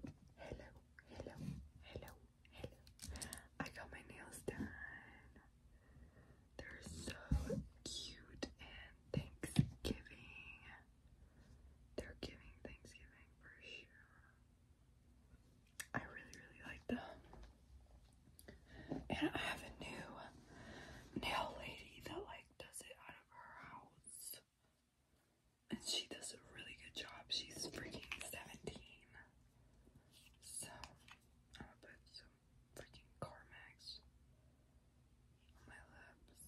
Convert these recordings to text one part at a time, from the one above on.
Hello, hello, hello, hello. I got my nails done. They're so cute and Thanksgiving. They're giving Thanksgiving for sure. I really, really like them. And I have a new nail lady that like does it out of her house. And she does a really good job. She's freaking 17. So, I'm gonna put some freaking Carmex on my lips.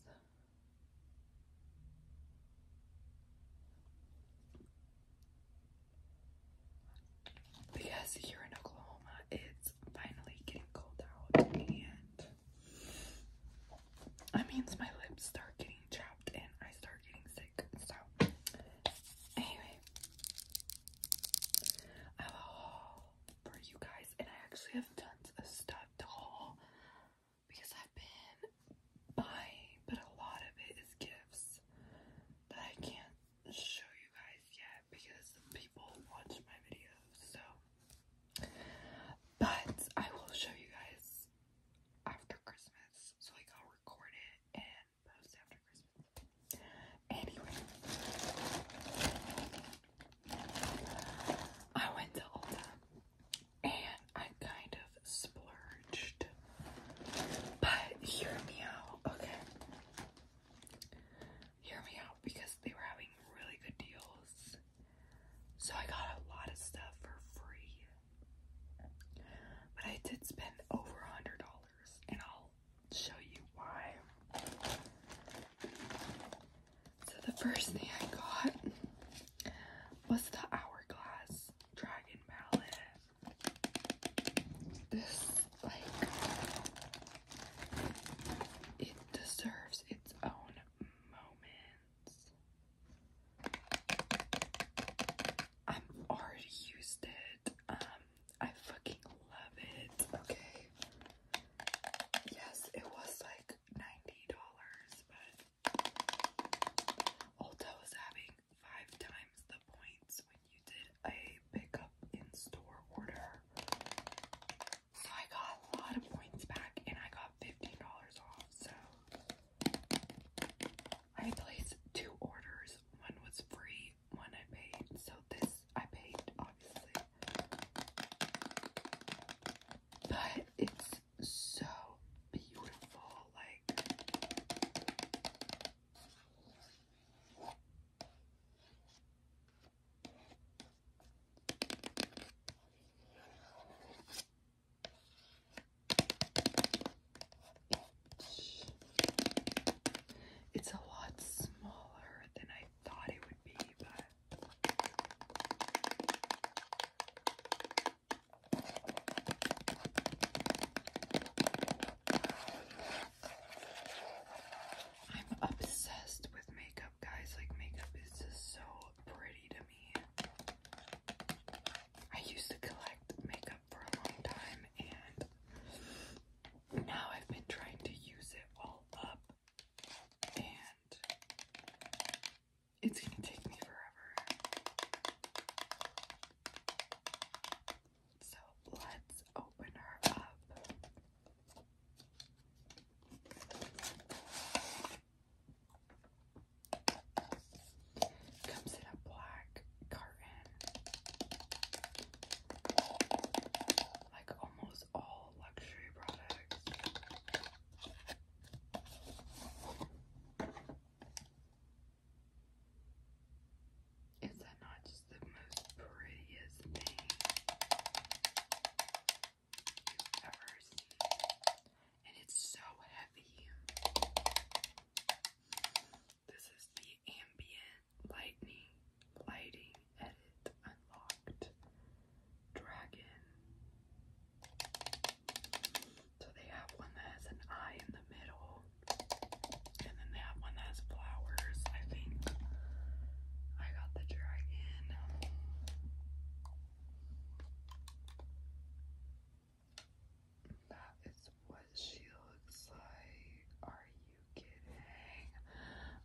Because here in Oklahoma, it's finally getting cold out, that means my lips start getting chapped and I start getting sick. So, anyway, I have a haul for you guys, and I actually have tons of stuff haul because I've been buying, but a lot of it is gifts that I can't show you guys yet because people watch my videos. So, but I will show you guys after Christmas, so like I'll record it and post after Christmas. Anyway, I went to Ulta and I kind of splurged, but hear me out, okay? Hear me out because they were having really good deals. So I got a lot of stuff for free. But I did spend over a hundred dollars, and I'll show you why. So the first thing I got was the Hourglass Dragon Palette. This like it deserves its own moment. I've already used it. Um, I fucking love it. Okay. Yes, it was like $90, but Ulta was having five times the points when you did a pickup in store order. So I got a lot of points back and I got $15 off. So I placed two orders. One was free, one I paid. So this I paid, obviously. But it's so beautiful. Like, it's a lot smaller than I thought it would be, but. I'm obsessed with makeup, guys. Like, makeup is so pretty to me. I used to collect makeup for a long time and now I've been trying to use it all up and it's gonna take me forever. So let's open her up. Comes in a black carton. Like almost all luxury products. Is that not just the most prettiest thing you've ever seen? and it's so heavy. This is the ambient lightning lighting edit unlocked dragon. So they have one that has an eye in the middle, and then they have one that has flowers. I think I got the dragon. That is what she looks like. Are you kidding?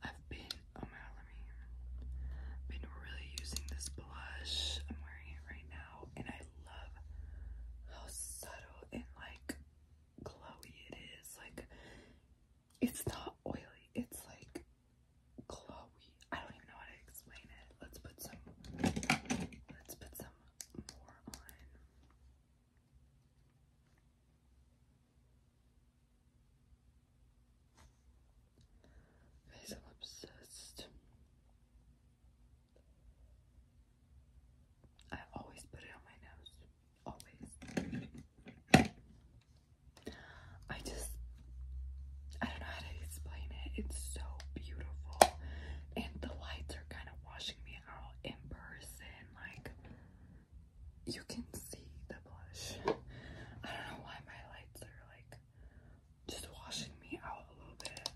I've been, oh my god, let me, I've been really using this blush. I'm wearing it right now, and I love how subtle and like glowy it is. Like, it's not oily, it's like glowy. I don't even know how to explain it. Let's put some let's put some more on. Guys, I'm obsessed. I always put it on my nose. Always. I just I don't know how to explain it. It's so beautiful. And the lights are kind of washing me out in person. Like, you can see the blush. I don't know why my lights are like just washing me out a little bit.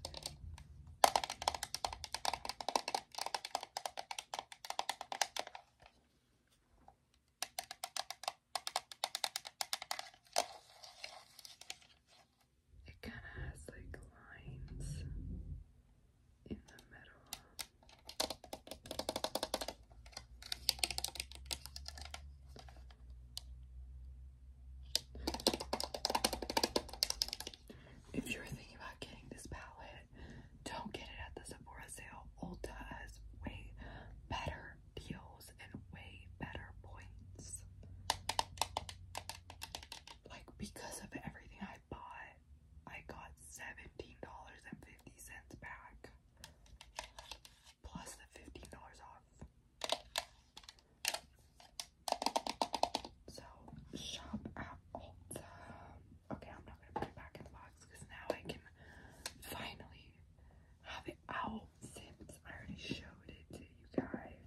It kind of has like lines in the middle. If you're thinking about getting this palette, don't get it at the Sephora sale. Ulta has way better deals and way better points. Like, because of everything I bought, I got $17.50 back, plus the $15 off. So, shop at Ulta. Okay, I'm not gonna put it back in the box because now I can finally have it out Sims. I already showed it to you guys.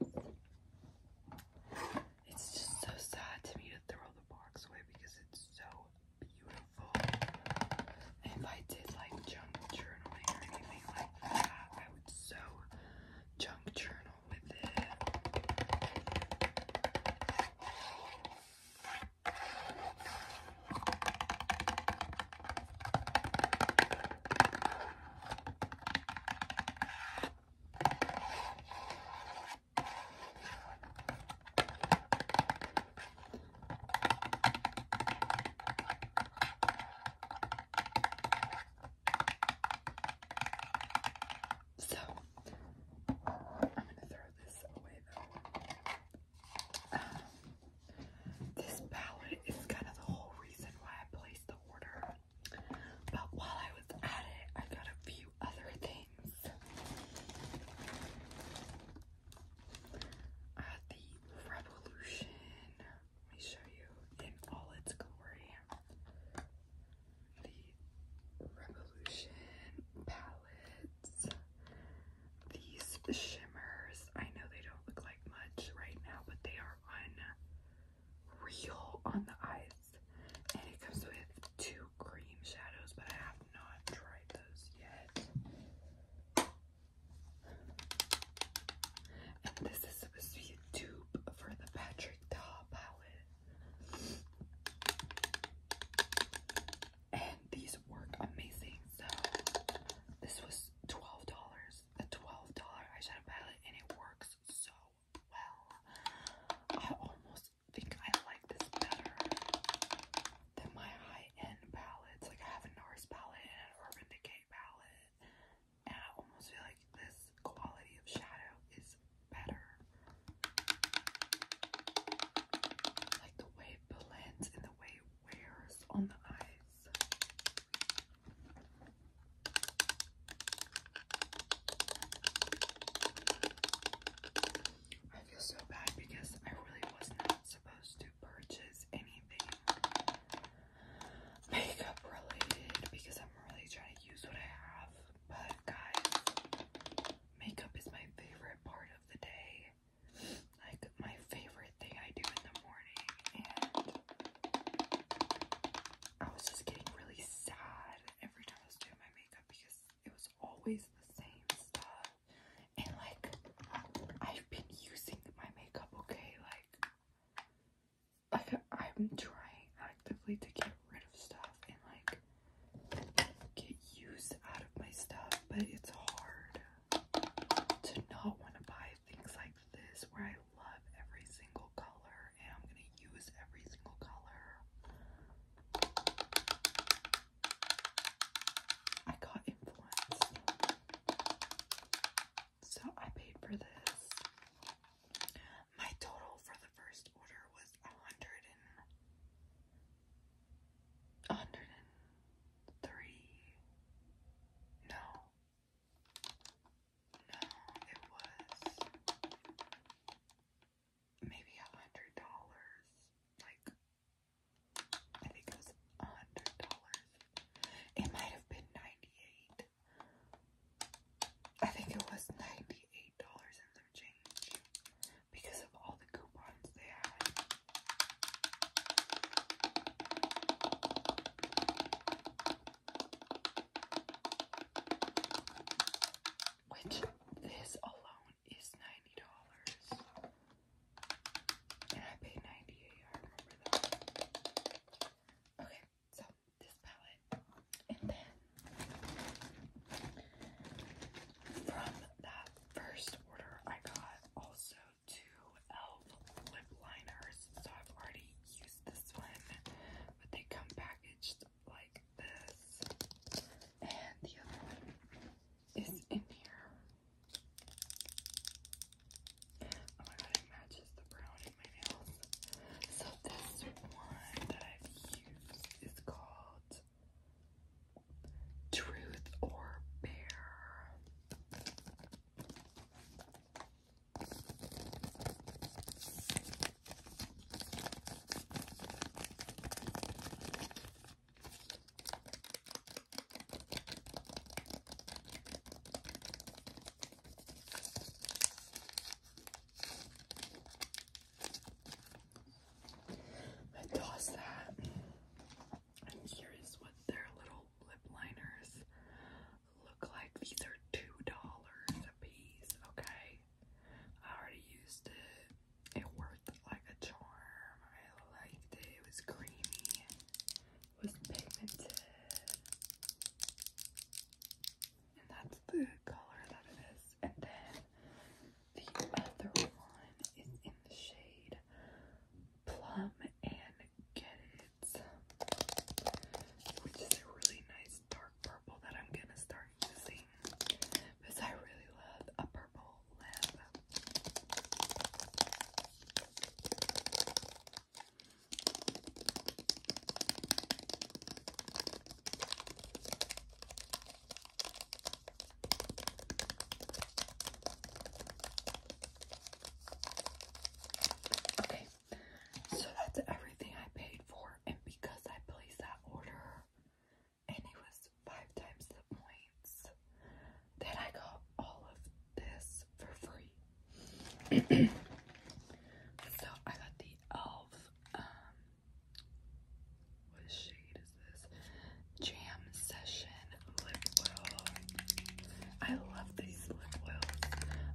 It's just so sad to me to throw the box away because it's so beautiful. If I did like junk journaling or anything like that, I would so junk journal with it. So I'm gonna throw this away though. Um, this palette is kind of the whole reason why I placed the order. But while I was at it, I got a few other things. Uh, the Revolution. Let me show you in all its glory. The Revolution palettes. These shimmers, I know they don't look like much right now, but they are on real on the eyes. And it comes with two cream shadows, but I have not tried those yet. And this is supposed to be a dupe for the Patrick Ta palette. And these work amazing. So this was $12 a $12 eyeshadow palette and it works so well. I almost think I like this better than my high-end palettes. Like I have a NARS palette and an Urban Decay palette. And I almost feel like this quality of shadow is better. Like the way it blends and the way it wears on the eyes. I feel so bad because I really was not supposed to purchase anything makeup related because I'm really trying to use what I have. But guys, makeup is my favorite part of the day. Like my favorite thing I do in the morning and I was just getting really sad every time I was doing my makeup because it was always the same stuff. And like, I've been using my makeup, okay? Like, like I'm trying actively to get rid of stuff and like get used out of my stuff, but it's hard to not want to buy things like this where I love every single color and I'm going to use every single color. I got influenced. So I paid for this. My total for the first order was a hundred and hundred and three. No, no, it was maybe a hundred dollars. Like I think it was a hundred dollars. It might have been ninety-eight. I think it was ninety-eight dollars and some change because of all the coupons they had. Which this alone is ninety dollars, and I paid ninety eight. I that. Okay, so this palette, and then from that first order, I got also two L lip liners, so I've already used this one, but they come packaged like this. And the other one is in here. Oh my god, it matches the brown in my nails. So this one that I've used is called Truth or Bear. I toss that. And here is what their little lip liners look like these are two dollars a piece, okay? I already used it. It worked like a charm. I liked it. It was creamy. It was pigmented. And that's the color that it is. And then the other one is in the shade Plum and Get It which is a really nice dark purple that I'm gonna start using because I really love a purple lip. Okay, so that's everything I paid for, and because I placed that order, and it was five times the points, then I got all of this for free. so I got the Elf. Um, what shade is this? Jam Session Lip Oil. I love these lip oils.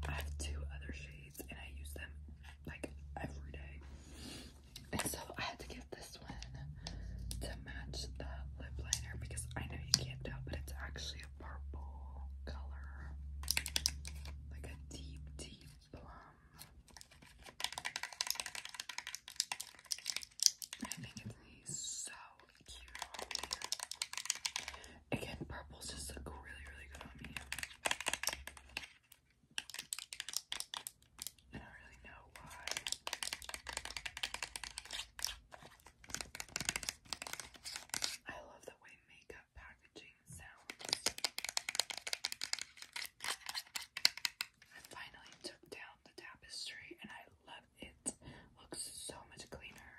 I have two other shades and I use them like every day. And so I had to get this one to match the lip liner because I know you can't tell, but it's actually a purple color. Like a deep, deep plum. I think it's so cute on here. Again, purples just look really, really good on me. I don't really know why. I love the way makeup packaging sounds. I finally took down the tapestry and I love it. Looks so much cleaner.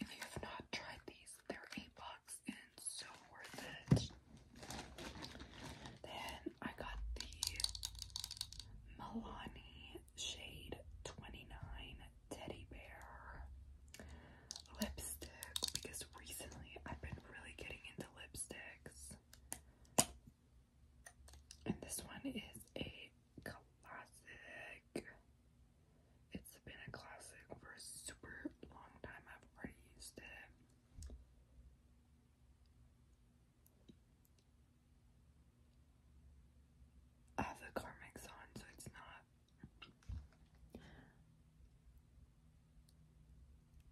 If you have not tried these, they're eight bucks and so worth it. Then I got the Milani Shade 29 Teddy Bear lipstick because recently I've been really getting into lipsticks. And this one is a classic. It's been a classic for a super long time. I've already used it. I have the car on, so it's not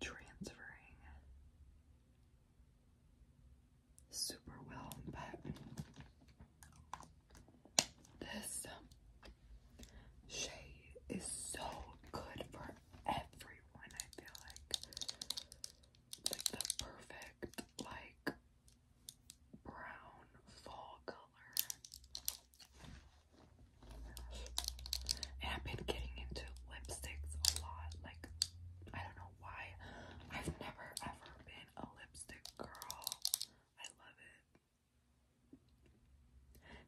transferring super well, but this shade is so good for everyone, I feel like. Like the perfect, like, brown fall color. And I've been getting into lipsticks a lot. Like, I don't know why. I've never ever been a lipstick girl. I love it.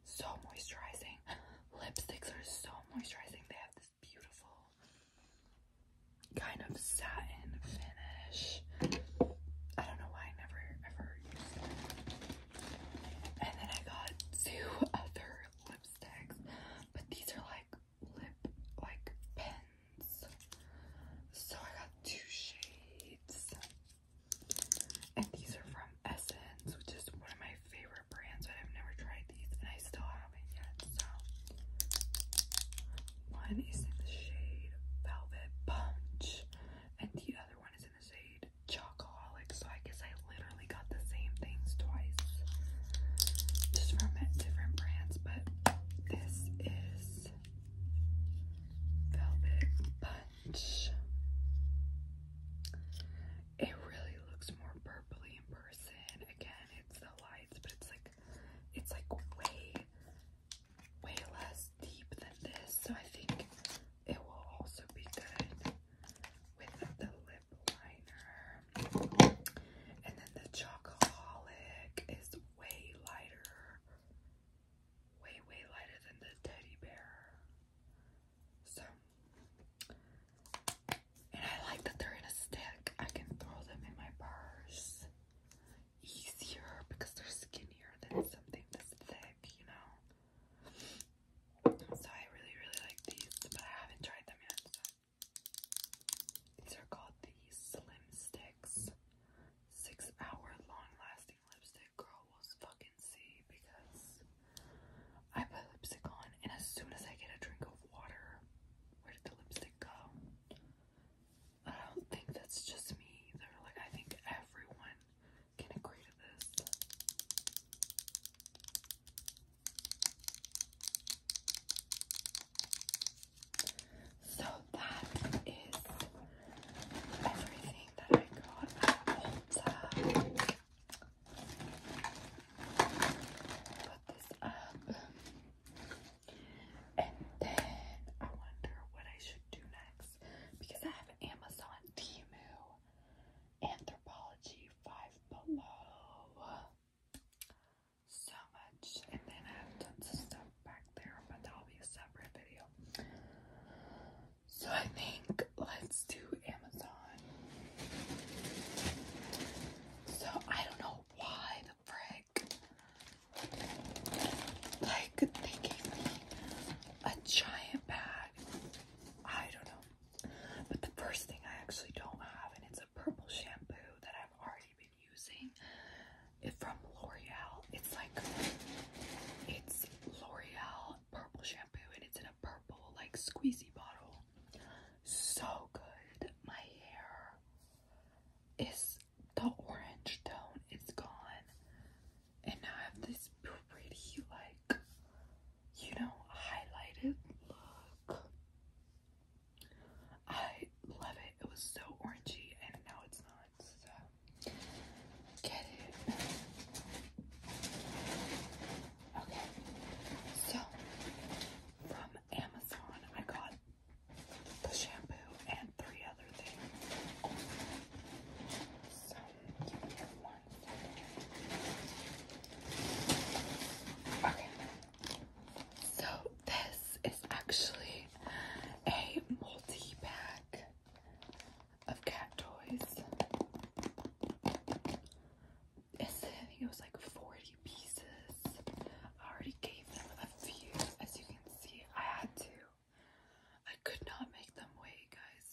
So moisturizing. Lipsticks are so moisturizing. They have this beautiful kind of satin finish. I don't know why I never ever used it. And then I got two other lipsticks, but these are like lip like pens. So I got two shades. And these are from Essence, which is one of my favorite brands, but I've never tried these and I still haven't yet. So one is in the shade Velvet Punch, and the other one is in the shade Chocoholic. So I guess I literally got the same things twice, just from different brands. But this is Velvet Punch. It really looks more purpley in person. Again, it's the lights, but it's like it's like way, way less deep than this. So I think it will also be good with the lip liner. And then the chocoholic is way lighter way, way lighter than the teddy bear. So, and I like that they're in a stick. I can throw them in my purse easier because they're skinnier than something this thick, you know? So I really, really like these, but I haven't tried them yet. These are called the Slim Sticks six hour long lasting lipstick, girl will fucking see because I put lipstick on and as soon as I get a drink of water, where did the lipstick go? I don't think that's just me They're Like I think everyone can agree to this. So that is everything that I got at Ulta. Put this up. And then I wonder what I should do next because I have Amazon, Timu, Anthropology, Five Below, so and then I have tons of stuff back there, but that'll be a separate video. So I think let's do Amazon. So I don't know why the frick like they gave me a giant bag. I don't know. But the first thing I actually don't have, and it's a purple shampoo that I've already using it from L'Oreal. It's like it's L'Oreal purple shampoo and it's in a purple like squeezy bottle. So good. My hair is the orange tone is gone. And now I have this pretty like you know highlighted look. I love it. It was so orangey and now it's not wants get it. Okay, so from Amazon, I got the shampoo and three other things. So, Okay, so this is actually a multi pack of cat toys. I think it was like 40 pieces. I already gave them a few, as you can see. I had to. I could not make them wait, guys.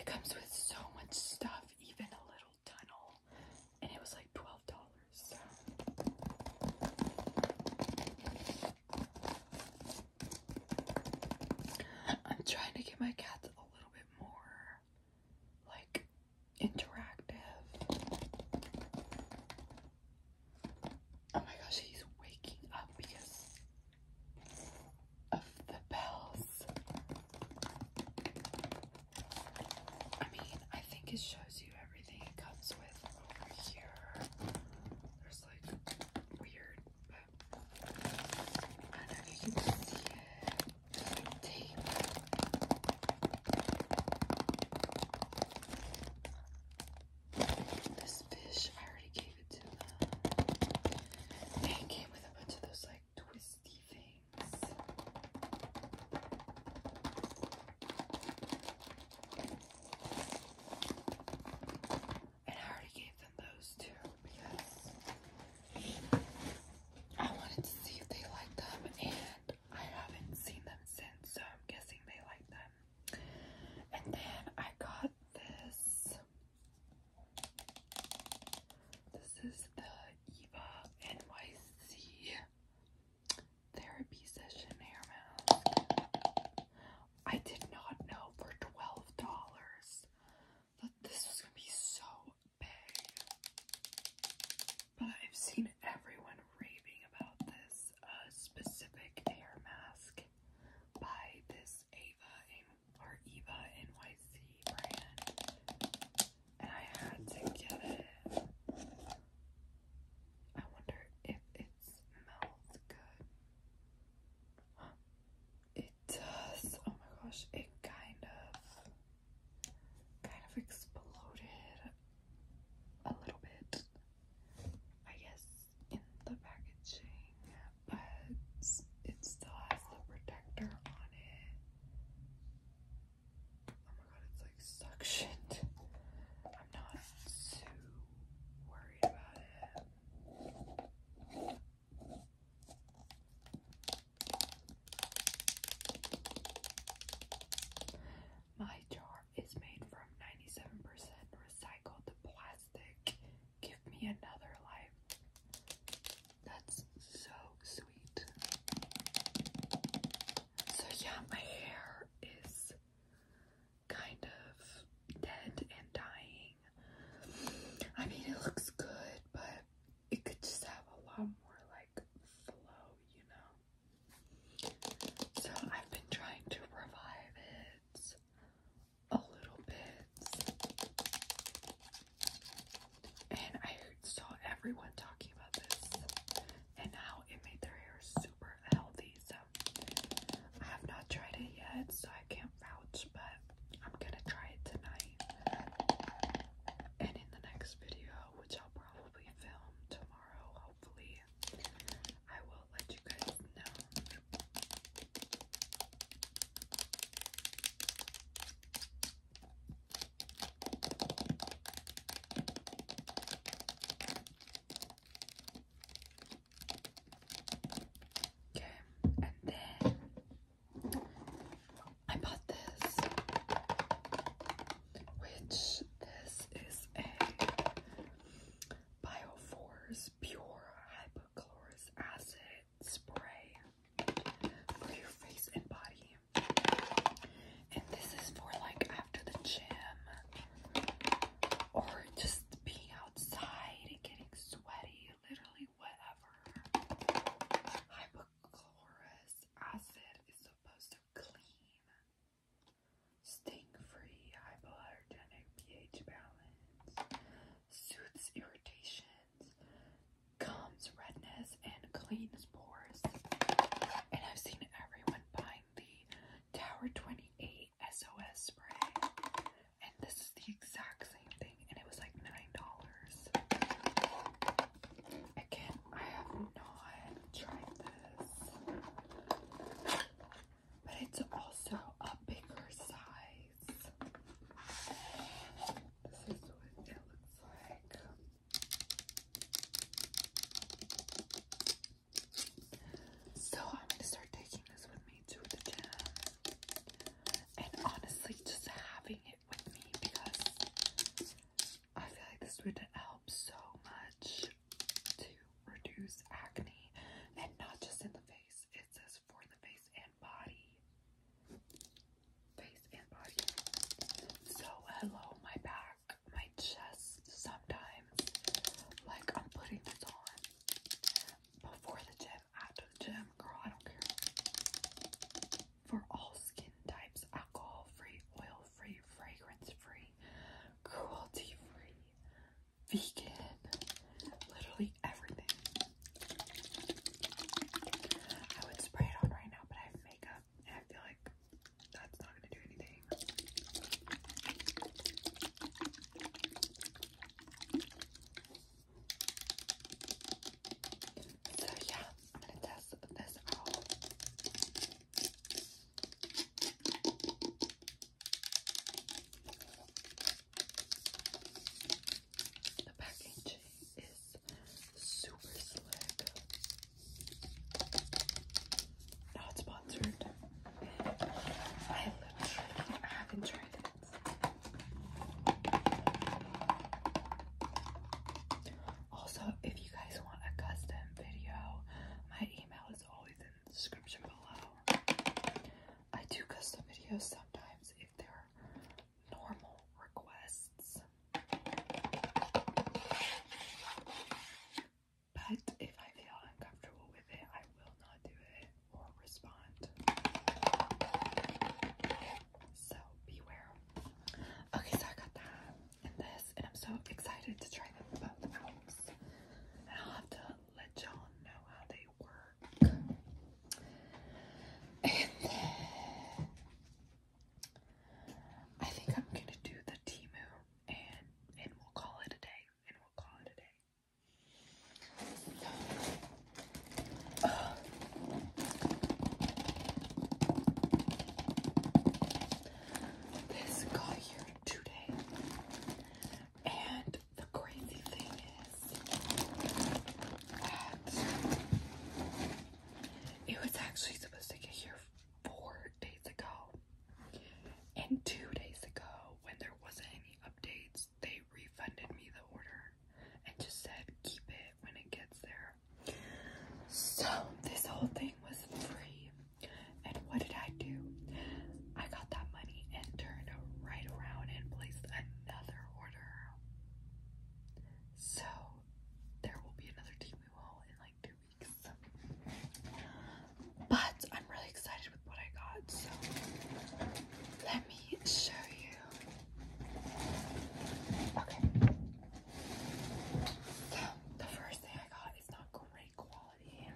it comes with so much stuff, even a little tunnel and it was like twelve dollars. I'm trying to get my cats a little bit more like interactive. Oh my gosh, he's waking up because of the bells. I mean, I think it shows you everything it comes with over here. There's like weird, I don't know if you can see it. tape. This fish, I already gave it to them. And came with a bunch of those like twisty things. I already gave them those too because I wanted to see if they liked them and I haven't seen them since, so I'm guessing they like them. And then I got this. This is the Eva NYC therapy session hair mask. I did not know for twelve dollars that this was gonna be so big, but I've seen everyone raving about this uh, specific hair mask by this Ava in, or Eva NYC brand and I had to get it. I wonder if it smells good. It does. Oh my gosh, it kind of, kind of exploded a little bit, I guess, in the packaging, but it still has the protector on it. Oh my god, it's like suctioned. I'm not too worried about it. My jar is made from 97% recycled plastic. Give me another life. That's so sweet. So yeah, my hair is kind of dead and dying. I mean, it looks good, but it could just have a lot more like flow, you know? So I've been trying to revive it a little bit. And I saw everyone talking about this and how it made their hair super healthy. So I have not tried it yet, so I can't vouch, but I'm gonna try it tonight. And in the next video, which I'll probably film tomorrow, hopefully, I will let you guys know. Okay, and then I bought this, which this is a Bioforce Pure Hypochlorous Acid Spray for your face and body. And this is for like after the gym or just being outside and getting sweaty, literally whatever. Hypochlorous acid is supposed to clean, sting-free, hypoallergenic pH balance, soothes irritations, calms redness this and cleans pores. And I've seen everyone buying the Tower 28 SOS spray. And this is the exact same thing, and it was like $9. Again, I have not tried this. But it's also a bigger size. This is what it looks like. So I'm gonna start taking this with me to the gym. And honestly, just having it with me because I feel like this would help so much to reduce acne and not just in the face. It says for the face and body. Face and body. So hello my bad my chest sometimes. Like I'm putting this on before the gym, after the gym, girl, I don't care. For all skin types, alcohol-free, oil-free, fragrance-free, cruelty-free, vegan, literally everything. I would spray it on right now, but I have makeup. I feel like that's not gonna do anything. So yeah, I'm gonna test this out. The package is super slick. Not oh, sponsored. I literally haven't tried it. Also, if you guys want a custom video, my email is always in the description below. I do custom videos sometimes if they're normal requests. But if I feel uncomfortable with it, I will not do it or respond. So beware. Okay, so I got that and this, and I'm so excited to try them both I'll have to let y'all know how they work. I think I'm gonna do the Timu and and we'll call it a day. And we'll call it a day. Uh, this got here today, and the crazy thing is that it was actually supposed to get here four days ago. And two days ago, when there wasn't any updates, they refunded me the order and just said, keep it when it gets there. So, this whole thing was free. And what did I do? I got that money and turned right around and placed another order. So, there will be another Timu haul in like two but I'm really excited with what I got, so let me show you. Okay. So, the first thing I got is not great quality,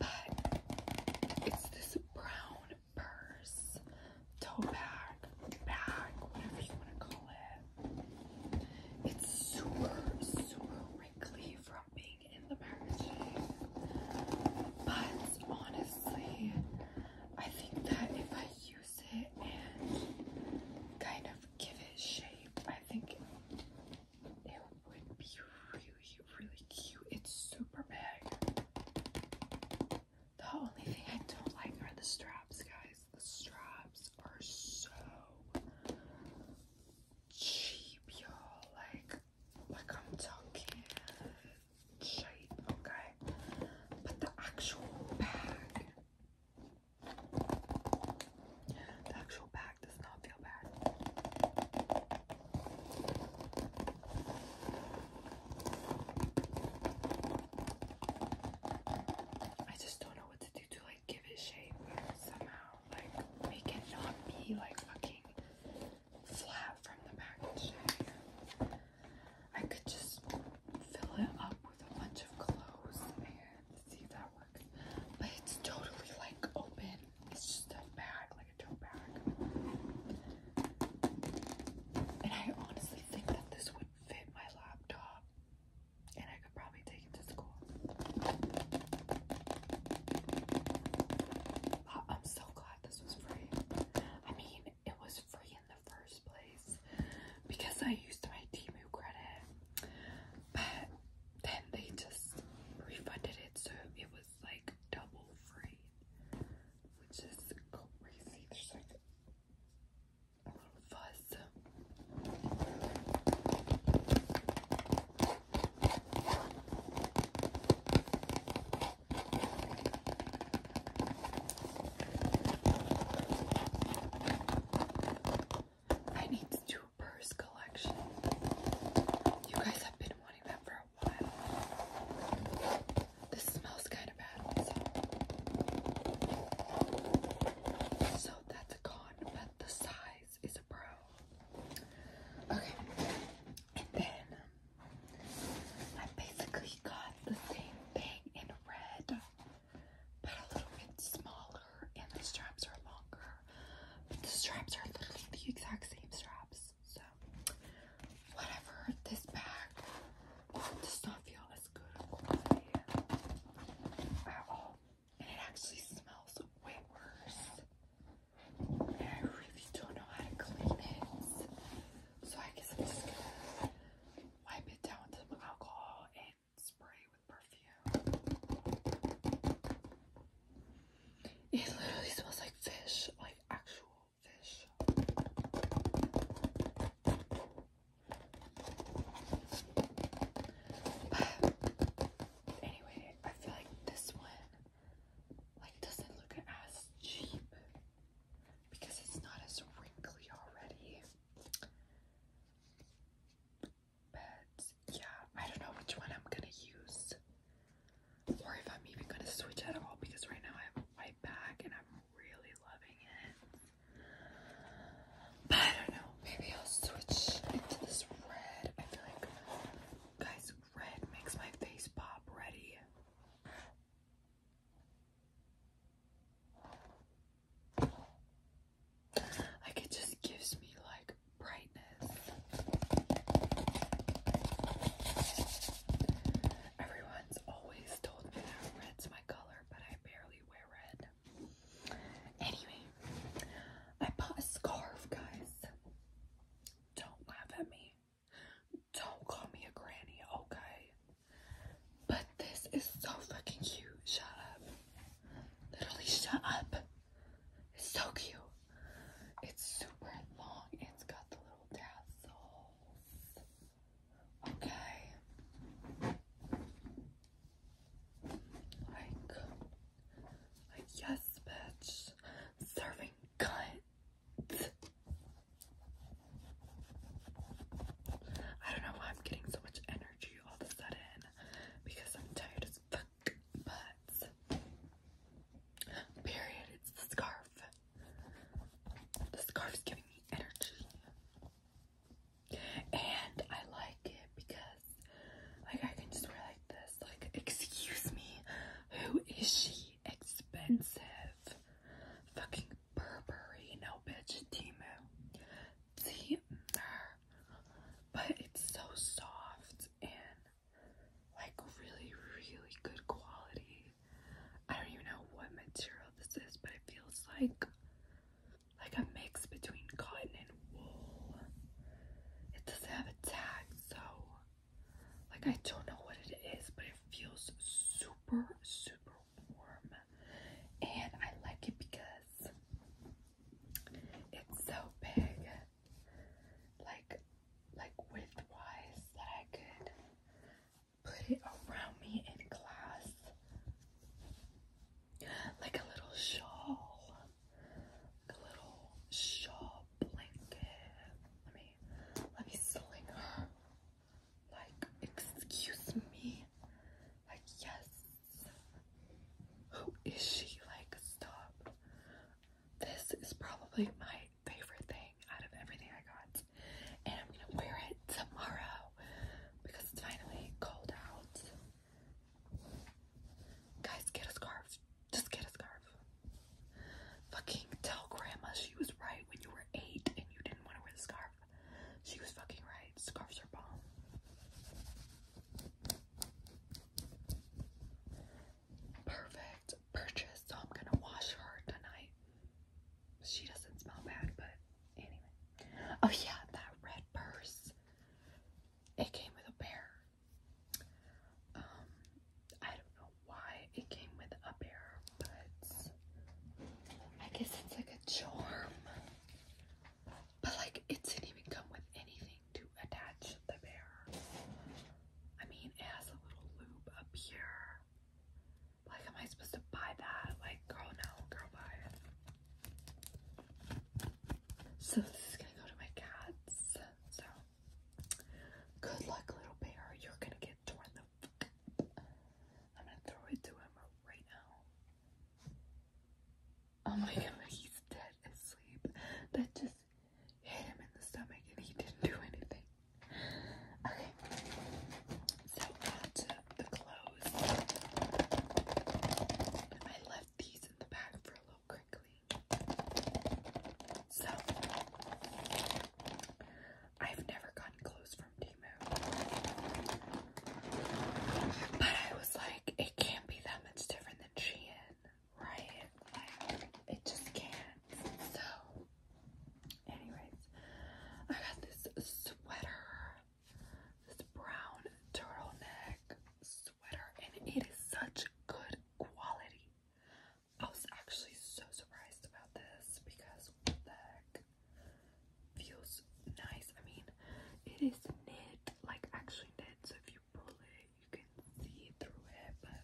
but it's this brown purse, tote bag, bag, whatever you want to call it. It's super, super wrinkly from being in the packaging. But honestly, I think that if I use it and kind of give it shape, I think it would be really, really cute. It's super big. The only thing I don't like are the straps, guys the straps are so cheap, y'all. Like, like I'm talking cheap, okay? But the actual bag, the actual bag does not feel bad. I just don't know what to do to like give it shape somehow, like make it not be like fucking flat from the packaging. I could just fill it up with a bunch of clothes and see if that works. But it's totally like open. It's just a bag, like a tote bag. And I honestly think that this would fit my laptop. And I could probably take it to school. Uh, I'm so glad this was free. I mean, it was free in the first place because I used my Timu credit, but then they just refunded it, so it was like double free, which is crazy. I need to do a purse collection. You guys have been wanting that for a while. This smells kind of bad, so that's but the size is a pro. Okay, and then I basically got the same thing in red, but a little bit smaller, and the straps are longer. But the straps are literally the exact same straps, so whatever. This bag oh, does not feel as good at all and it actually smells way worse. And I really don't know how to clean it. So I guess I'm just gonna wipe it down with some alcohol and spray with perfume. It literally smells like fish, like actual fish. But anyway, I feel like this one like doesn't look as cheap because it's not as wrinkly already. But yeah, I don't know which one I'm gonna use or if I'm even gonna switch at all because right now I have a bag and I'm really loving it. I don't know. Maybe I'll switch into this red. I feel like, guys, red makes my face pop ready. Like, it just gives me like brightness. Everyone's always told me that red's my color, but I barely wear red. Anyway, I bought a scarf, guys. Don't laugh at me. Don't call me a granny, okay? But this is so fucking cute. Shut up. Literally, shut up. It's so cute. It's super long. It's got the little tassels. Okay. Like, like yes, bitch, serving cunt. I don't know why I'm getting so much energy all of a sudden because I'm tired as fuck, but period, it's the scarf. The scarf's giving me energy. And I like it because like I can just wear like this. Like, excuse me, who is she? Expensive. Fucking Burberry, no bitch, Timu. Timer. But it's so soft and like really, really good quality. I don't even know what material this is, but it feels like like a mix between cotton and wool. It doesn't have a tag, so like I don't know what it is, but it feels super, super warm. And I like it because it's so big, like like width-wise that I could put it around me in class like a little shawl, like a little shawl blanket. Let me, let me sling her. Like, excuse me. Like, yes. Who is she? Like, stop. This is probably my favorite thing out of everything I got. And I'm gonna wear it tomorrow because it's finally cold out. Guys, get a scarf. Just get a scarf. Fucking tell grandma she was right when you were eight and you didn't want to wear the scarf. She was fucking right. Scarves are bomb. Perfect purchase. So I'm gonna wash her tonight. She doesn't smell bad, but Oh yeah, that red purse. It came with a bear. Um, I don't know why it came with a bear, but I guess it's like a charm. But like it didn't even come with anything to attach the bear. I mean it has a little loop up here. Like am I supposed to buy that? Like girl no, girl buy it. So this is gonna go to my cats. So good luck, little bear. You're gonna get torn the fuck. I'm gonna throw it to him right now. Oh my god, he's dead asleep. That just hit him in the stomach and he didn't do anything. Okay. So on the clothes. I left these in the bag for a little crinkling. So, I've never gotten clothes from Temu. But I was like, it can't be that much different than Shein, right? it just can't. So, anyways, I got this sweater this brown turtleneck sweater, and it is such good quality. I was actually so surprised about this because what feels nice. I mean, it is knit, like actually knit, so if you pull it, you can see through it, but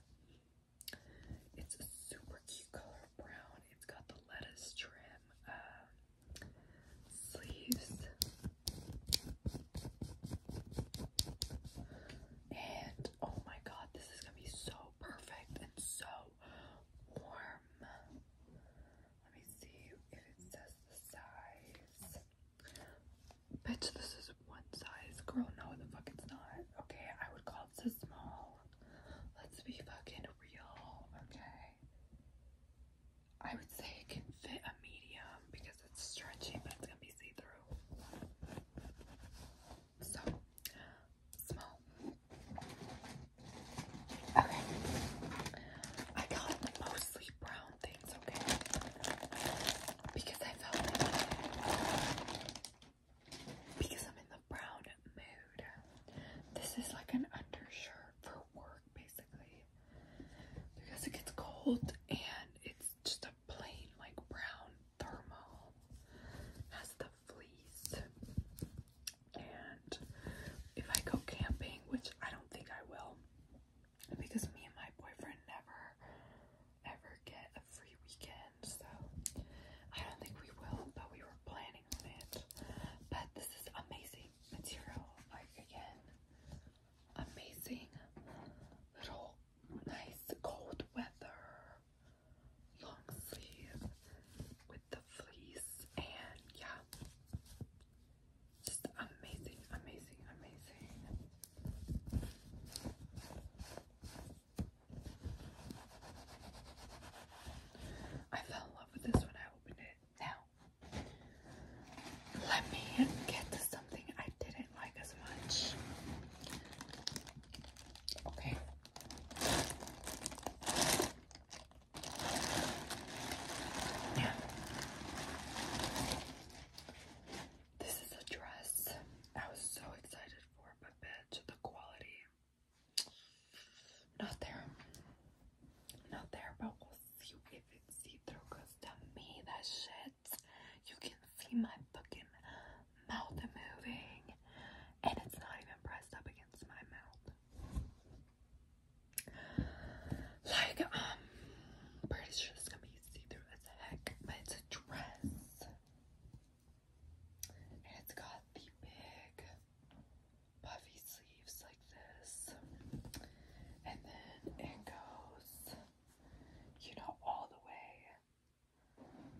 it's a super cute color brown. It's got the lettuce trim. Um, sleeves and oh my god this is gonna be so perfect and so warm let me see if it says the size bitch this is one size girl no the fuck it's not okay I would call it a small let's be fucking real okay I would say it can fit a medium because it's stretchy, but it's gonna be see through. So, small. Okay. I got mostly brown things, okay? Because I felt because I'm in the brown mood. This is like an undershirt for work basically because it gets cold and it's just a plain like brown thermal has the fleece and if I go camping which I don't think I will because me and my boyfriend never ever get a free weekend so I don't think we will but we were planning on it but this is amazing material. Like again, amazing little nice cold weather long sleeve with the fleece and yeah. Just amazing, amazing, amazing. I fell in love with this when I opened it. Now, let me get to something I didn't like as much. Okay. This is a dress I was so excited for, but bitch, the quality. Not there. Not there, but we'll see if it's see through. Cause to me, that shit, you can see my fucking mouth moving, and it's not even pressed up against my mouth. Like, um, pretty sure it's gonna be see through as heck, but it's a dress, and it's got the big puffy sleeves like this. And then it goes, you know, all the way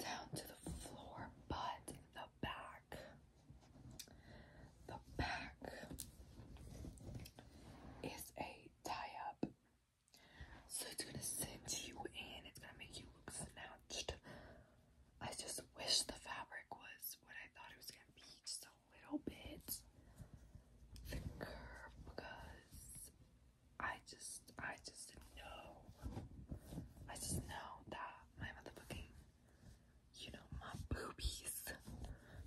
down to the floor, but the back, the back is a tie up. So it's gonna cinch you in, it's gonna make you look snatched. I just wish the fabric was what I thought it was gonna be, so little bit thicker because I just, I just know, I just know that my motherfucking, you know, my boobies,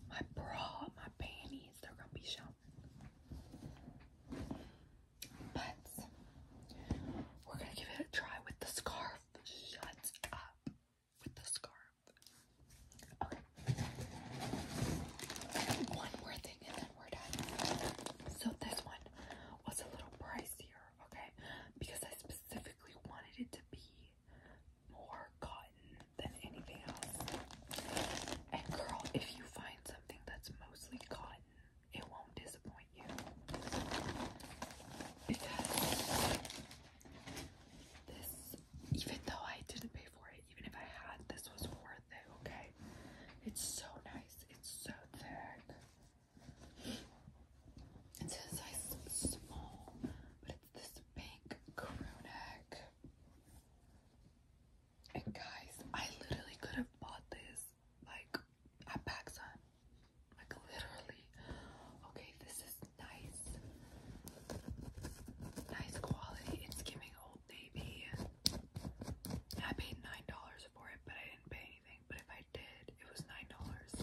my bra, my panties, they're gonna be shown. But we're gonna give it a try with the scarf. Shut up with the scarf. Okay. One more thing and then we're done. So this one was a little pricier, okay? Because I specifically wanted it to be more cotton than anything else. And girl, if you find something that's mostly cotton, it won't disappoint you. Because this, even though I didn't pay for it, even if I had, this was worth it, okay? It's so nice, it's so thick. It's a size small, but it's this pink crew neck. And guys, I literally could have bought this like at PacSun. Like literally. Okay, this is nice, nice quality. It's giving Old Navy. I paid nine dollars for it, but I didn't pay anything. But if I did, it was nine dollars,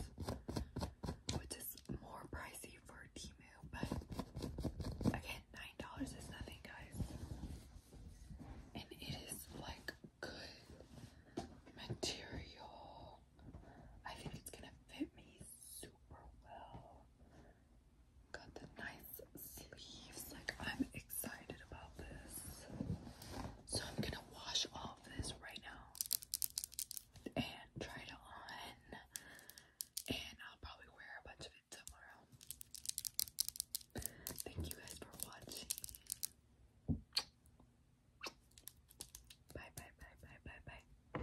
which is more pricey for Timu. But again, nine dollars is nothing, guys. And it is like good material. I think it's gonna fit me super well. Got the nice sleeves. Like I'm excited about this. So I'm gonna wash all of this right now and try it on. And I'll probably wear a bunch of it tomorrow. Thank you guys for watching. Bye bye bye bye bye bye.